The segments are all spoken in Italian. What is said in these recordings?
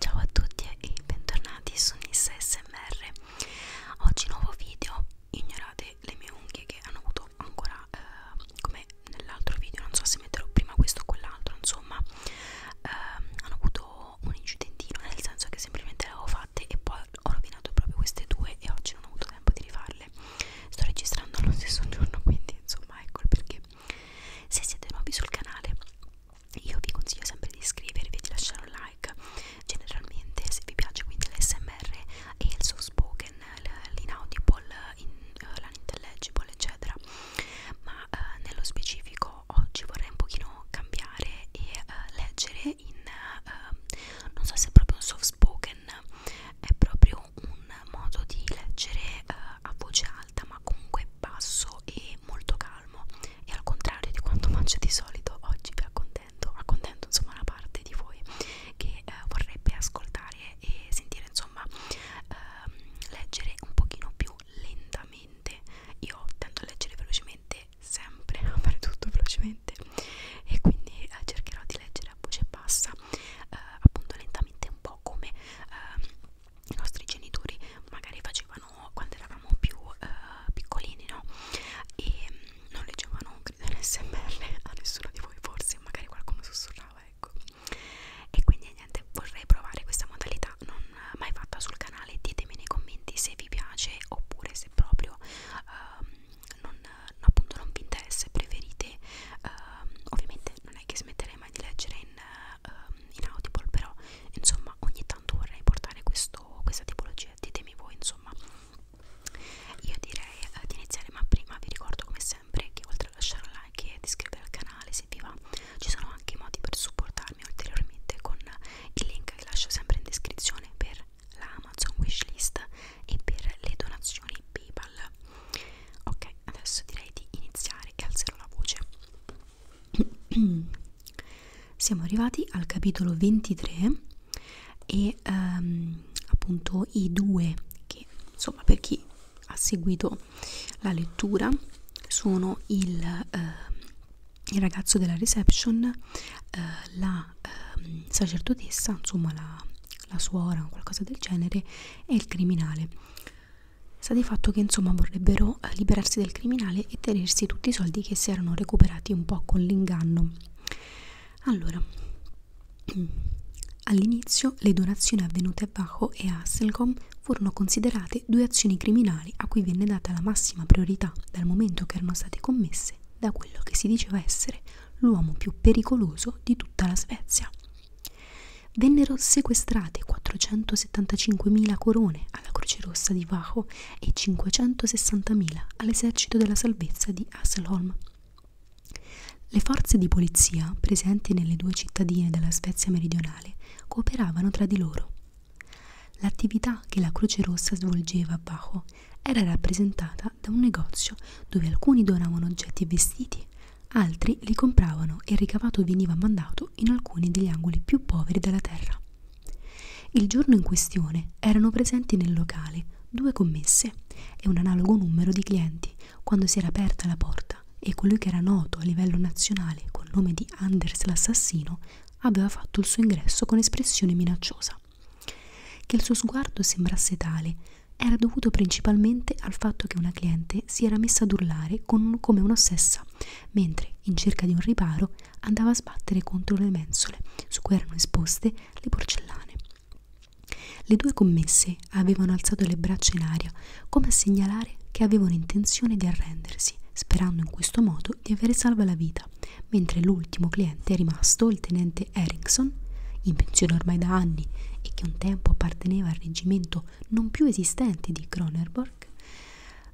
Ciao a tutti e bentornati su Nissa SMR. Oggi nuovo video, ignorate le mie unghie che hanno avuto ancora eh, come nell'altro video, non so se metterò prima questo o quell'altro, insomma, eh, hanno avuto un incidentino, nel senso che semplicemente le avevo fatte e poi ho rovinato proprio queste due e oggi non ho avuto tempo di rifarle. Sto registrando lo stesso giorno, quindi insomma, ecco il perché. Se siete nuovi sul canale io vi consiglio sempre di iscrivervi e di lasciare un like generalmente se vi piace quindi l'SMR e il soft spoken l'inaudible, in, uh, eh, l'inintelligible eccetera ma uh, nello specifico oggi vorrei un pochino cambiare e uh, leggere in uh, non so se è proprio un soft spoken è proprio un modo di leggere uh, a voce alta ma comunque basso e molto calmo e al contrario di quanto mangio di solito oggi vi accontento, accontento insomma una parte di voi che eh, vorrebbe ascoltare e sentire insomma ehm, leggere un pochino più lentamente io tendo a leggere velocemente sempre, a fare tutto velocemente e quindi eh, cercherò di leggere a voce bassa eh, appunto lentamente un po' come ehm, i nostri genitori magari facevano quando eravamo più eh, piccolini, no? E mh, mm, non leggevano credo SMR a nessuno di voi, forse magari qualcuno sussurrava, ecco. E quindi niente, vorrei provare questa modalità non mai fatta sul canale. Ditemi nei commenti se vi piace oppure se proprio eh, non, appunto non vi interessa e preferite. Eh, ovviamente non è che smetterei mai di leggere in um, ehm, inaudible però insomma ogni tanto vorrei portare questo, questa tipologia ditemi voi insomma io direi uh, di iniziare ma prima vi ricordo come sempre che oltre a lasciare un like e di iscrivervi al canale se vi va ci sono anche modi per supportarmi ulteriormente con il link che lascio sempre in descrizione per la Amazon wishlist e per le donazioni PayPal. Ok, adesso direi di iniziare e alzerò la voce. siamo arrivati al capitolo 23 e ehm, appunto i due che insomma per chi ha seguito la lettura sono il, eh, il ragazzo della reception eh, la eh, sacerdotessa insomma la, la suora o qualcosa del genere e il criminale Sta di fatto che insomma vorrebbero eh, liberarsi del criminale e tenersi tutti i soldi che si erano recuperati un po' con l'inganno. Allora, all'inizio le donazioni avvenute a Bajo e a Hasselcom furono considerate due azioni criminali a cui venne data la massima priorità dal momento che erano state commesse da quello che si diceva essere l'uomo più pericoloso di tutta la Svezia. Vennero sequestrate 475.000 corone alla Croce Rossa di Vajo e 560.000 all'esercito della salvezza di Hasselholm. Le forze di polizia presenti nelle due cittadine della Svezia meridionale cooperavano tra di loro. L'attività che la Croce Rossa svolgeva a Bajo era rappresentata da un negozio dove alcuni donavano oggetti e vestiti Altri li compravano e il ricavato veniva mandato in alcuni degli angoli più poveri della terra. Il giorno in questione erano presenti nel locale due commesse e un analogo numero di clienti quando si era aperta la porta e colui che era noto a livello nazionale col nome di Anders l'assassino aveva fatto il suo ingresso con espressione minacciosa. Che il suo sguardo sembrasse tale era dovuto principalmente al fatto che una cliente si era messa ad urlare con Tom come un'ossessa, mentre, in cerca di un riparo, andava a sbattere contro le mensole su cui erano esposte le porcellane. Le due commesse avevano alzato le braccia in aria come a segnalare che avevano intenzione di arrendersi, sperando in questo modo di avere salva la vita, mentre l'ultimo cliente rimasto, il tenente Erickson, in pensione ormai da anni e che un tempo apparteneva al reggimento appunto non più esistenti di Cronenberg,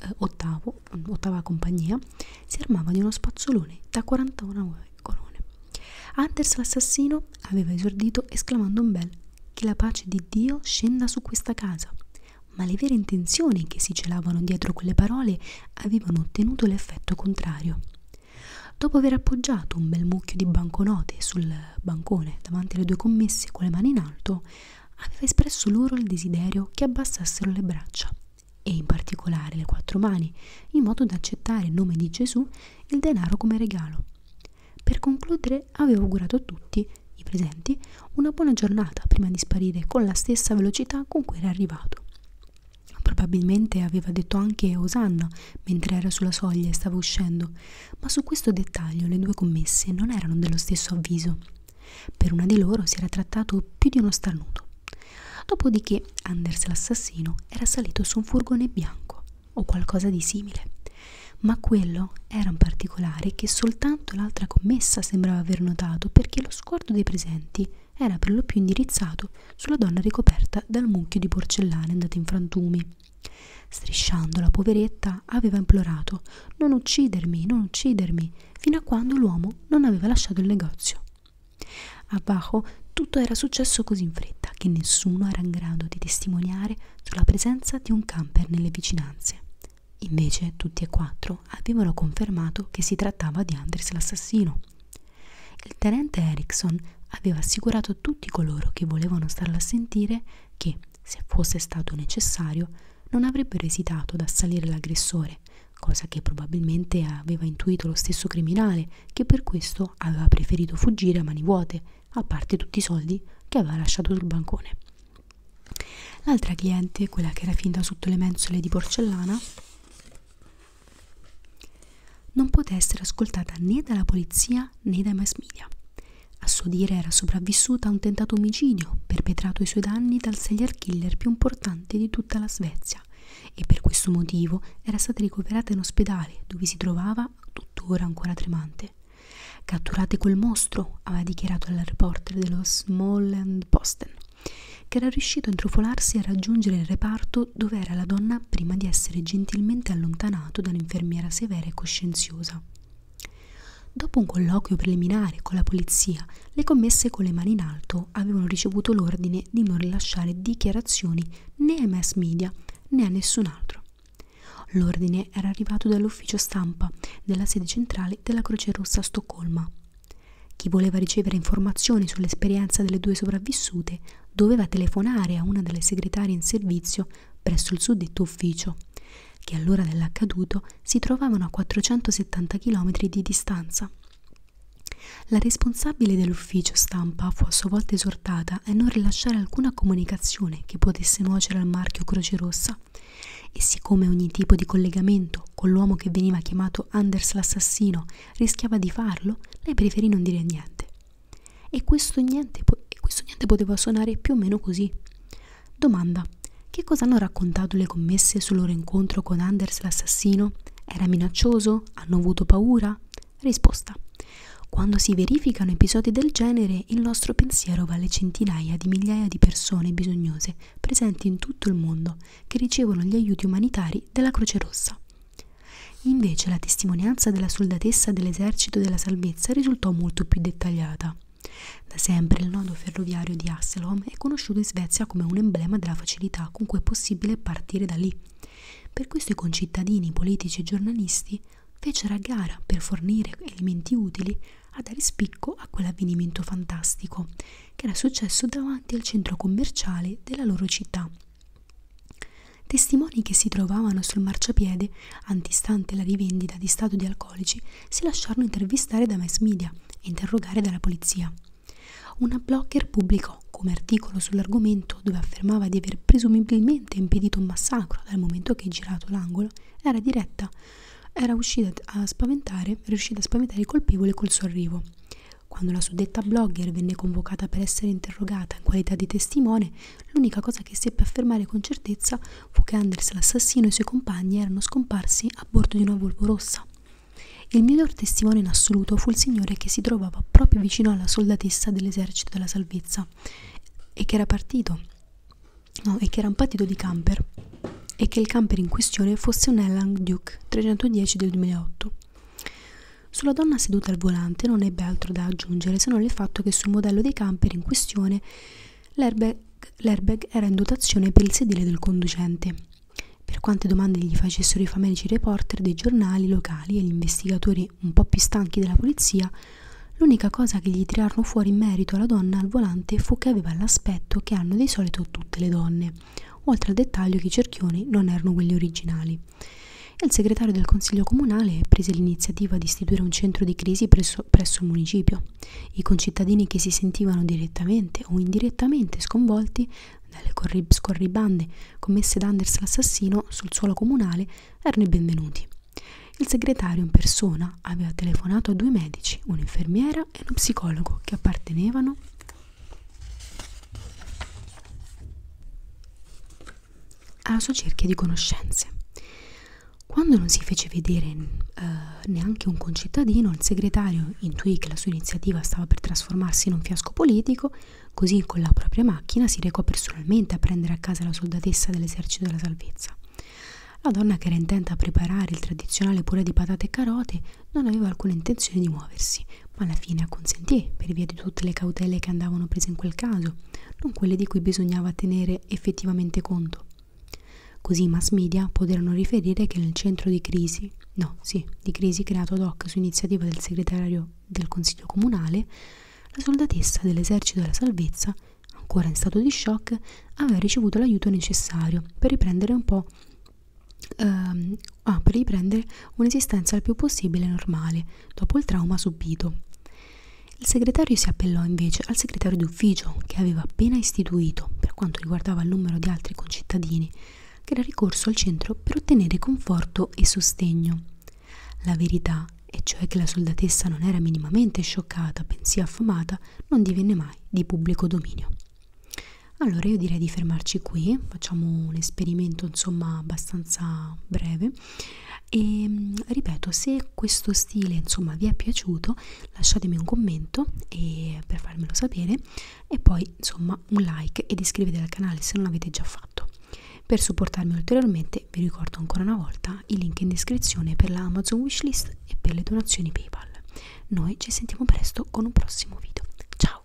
eh, ottavo, ottava compagnia, si armava di uno spazzolone da 41 colonne. Anders l'assassino aveva esordito esclamando un bel che la pace di Dio scenda su questa casa, ma le vere intenzioni che si celavano dietro quelle parole avevano ottenuto l'effetto contrario. Dopo aver appoggiato un bel mucchio di banconote sul bancone davanti alle due commesse con le mani in alto, aveva espresso loro il desiderio che abbassassero le braccia e in particolare le quattro mani, in modo da accettare in nome di Gesù il denaro come regalo. Per concludere avevo augurato a tutti i presenti una buona giornata prima di sparire con la stessa velocità con cui era arrivato. Probabilmente aveva detto anche Osanna mentre era sulla soglia e stava uscendo, ma su questo dettaglio le due commesse non erano dello stesso avviso. Per una di loro si era trattato più di uno starnuto. Dopodiché Anders l'assassino era salito su un furgone bianco o qualcosa di simile, ma quello era un particolare che soltanto l'altra commessa sembrava aver notato perché lo sguardo dei presenti era per lo più indirizzato sulla donna ricoperta dal mucchio di porcellana andato in frantumi. Strisciando la poveretta aveva implorato non uccidermi, non uccidermi, fino a quando l'uomo non aveva lasciato il negozio. A Bajo tutto era successo così in fretta che nessuno era in grado di testimoniare sulla presenza di un camper nelle vicinanze. Invece tutti e quattro avevano confermato che si trattava di Anders l'assassino. Il tenente Erickson aveva assicurato tutti coloro che volevano starla a sentire che, se fosse stato necessario, non avrebbero esitato ad assalire l'aggressore, cosa che probabilmente aveva intuito lo stesso criminale, che per questo aveva preferito fuggire a mani vuote, a parte tutti i soldi che aveva lasciato sul bancone. L'altra cliente, quella che era finta sotto le mensole di porcellana, non poté essere ascoltata né dalla polizia né dai mass media. A suo dire era sopravvissuta a un tentato omicidio perpetrato ai suoi danni dal serial killer più importante di tutta la Svezia e per questo motivo era stata ricoverata in ospedale dove si trovava tuttora ancora tremante. Catturate quel mostro, aveva dichiarato alla reporter dello Small Posten, che era riuscito a intrufolarsi e a raggiungere il reparto dove era la donna Anna prima di essere gentilmente allontanato dall'infermiera severa e coscienziosa. Dopo un colloquio preliminare con la polizia, le commesse con le mani in alto avevano ricevuto l'ordine di non rilasciare dichiarazioni né ai mass media né a nessun altro. L'ordine era arrivato dall'ufficio stampa della sede centrale della Croce Rossa a Stoccolma. Chi voleva ricevere informazioni sull'esperienza delle due sopravvissute doveva telefonare a una delle segretarie in servizio presso il suddetto ufficio, che all'ora dell'accaduto si trovavano a 470 km di distanza. La responsabile dell'ufficio stampa fu a sua volta esortata a non rilasciare alcuna comunicazione che potesse nuocere al marchio Croce Rossa e siccome ogni tipo di collegamento con l'uomo che veniva chiamato Anders l'assassino rischiava di farlo, lei preferì non dire niente. E questo niente, po e questo niente poteva suonare più o meno così. Domanda. Che cosa hanno raccontato le commesse sul loro incontro con Anders l'assassino? Era minaccioso? Hanno avuto paura? Risposta. Quando si verificano episodi del genere, il nostro pensiero va alle centinaia di migliaia di persone bisognose presenti in tutto il mondo che ricevono gli aiuti umanitari della Croce Rossa. Invece la testimonianza della soldatessa dell'esercito della salvezza risultò molto più dettagliata. Da sempre il nodo ferroviario di Hasselholm è conosciuto in Svezia come un emblema della facilità con cui è possibile partire da lì. Per questo i concittadini, politici e giornalisti fecero a gara per fornire elementi utili a dare spicco a quell'avvenimento fantastico che era successo davanti al centro commerciale della loro città. Testimoni che si trovavano sul marciapiede, antistante la rivendita di stato di alcolici, si lasciarono intervistare da mass media e interrogare dalla polizia. Una blogger pubblicò come articolo sull'argomento dove affermava di aver presumibilmente impedito un massacro dal momento che girato l'angolo era diretta, era riuscita a spaventare, riuscita a spaventare il colpevole col suo arrivo. Quando la suddetta blogger venne convocata per essere interrogata in qualità di testimone, L'unica cosa che seppe affermare con certezza fu che Anders l'assassino e i suoi compagni erano scomparsi a bordo di una Volvo rossa. Il miglior testimone in assoluto fu il signore che si trovava proprio vicino alla soldatessa dell'esercito della salvezza e che era partito, no, e che era un partito di camper e che il camper in questione fosse un Elland Duke 310 del 2008. Sulla donna seduta al volante non ebbe altro da aggiungere se non il fatto che sul modello dei camper in questione l'airbag, l'airbag era in dotazione per il sedile del conducente. Per quante domande gli facessero i famelici reporter dei giornali locali e gli investigatori un po' più stanchi della polizia, l'unica cosa che gli tirarono fuori in merito alla donna al volante fu che aveva l'aspetto che hanno di solito tutte le donne, oltre al dettaglio che i cerchioni non erano quelli originali. Il segretario del Consiglio Comunale prese l'iniziativa di istituire un centro di crisi presso, presso il municipio. I concittadini che si sentivano direttamente o indirettamente sconvolti dalle corrib scorribande commesse da Anders l'assassino sul suolo comunale erano i benvenuti. Il segretario in persona aveva telefonato a due medici, un'infermiera e uno psicologo che appartenevano alla sua cerchia di conoscenze. Quando non si fece vedere eh, neanche un concittadino, il segretario intuì che la sua iniziativa stava per trasformarsi in un fiasco politico, così con la propria macchina si recò personalmente a prendere a casa la soldatessa dell'esercito della salvezza. La donna che era intenta a preparare il tradizionale purè di patate e carote non aveva alcuna intenzione di muoversi ma alla fine acconsentì per via di tutte le cautele che andavano prese in quel caso, non quelle di cui bisognava tenere effettivamente conto. Così i mass media poterono riferire che nel centro di crisi, no, sì, di crisi creato ad hoc su iniziativa del segretario del Consiglio Comunale, la soldatessa dell'esercito della salvezza, ancora in stato di shock, aveva ricevuto l'aiuto necessario per riprendere un po' ehm, ha ah, per riprendere un'esistenza il più possibile normale dopo il trauma subito. Il segretario si appellò invece al segretario d'ufficio che aveva appena istituito, per quanto riguardava il numero di altri concittadini, che era ricorso al centro per ottenere conforto e sostegno. La verità, e cioè che la soldatessa non era minimamente scioccata, bensì affamata, non divenne mai di pubblico dominio. Allora io direi di fermarci qui, facciamo un esperimento insomma abbastanza sarà breve e ehm, ripeto se questo stile insomma vi è piaciuto lasciatemi un commento e, per farmelo sapere e poi insomma un like ed iscrivetevi al canale se non l'avete già fatto per supportarmi ulteriormente vi ricordo ancora una volta i link in descrizione per la Amazon wishlist e per le donazioni PayPal. Noi ci sentiamo presto con un prossimo video. Ciao!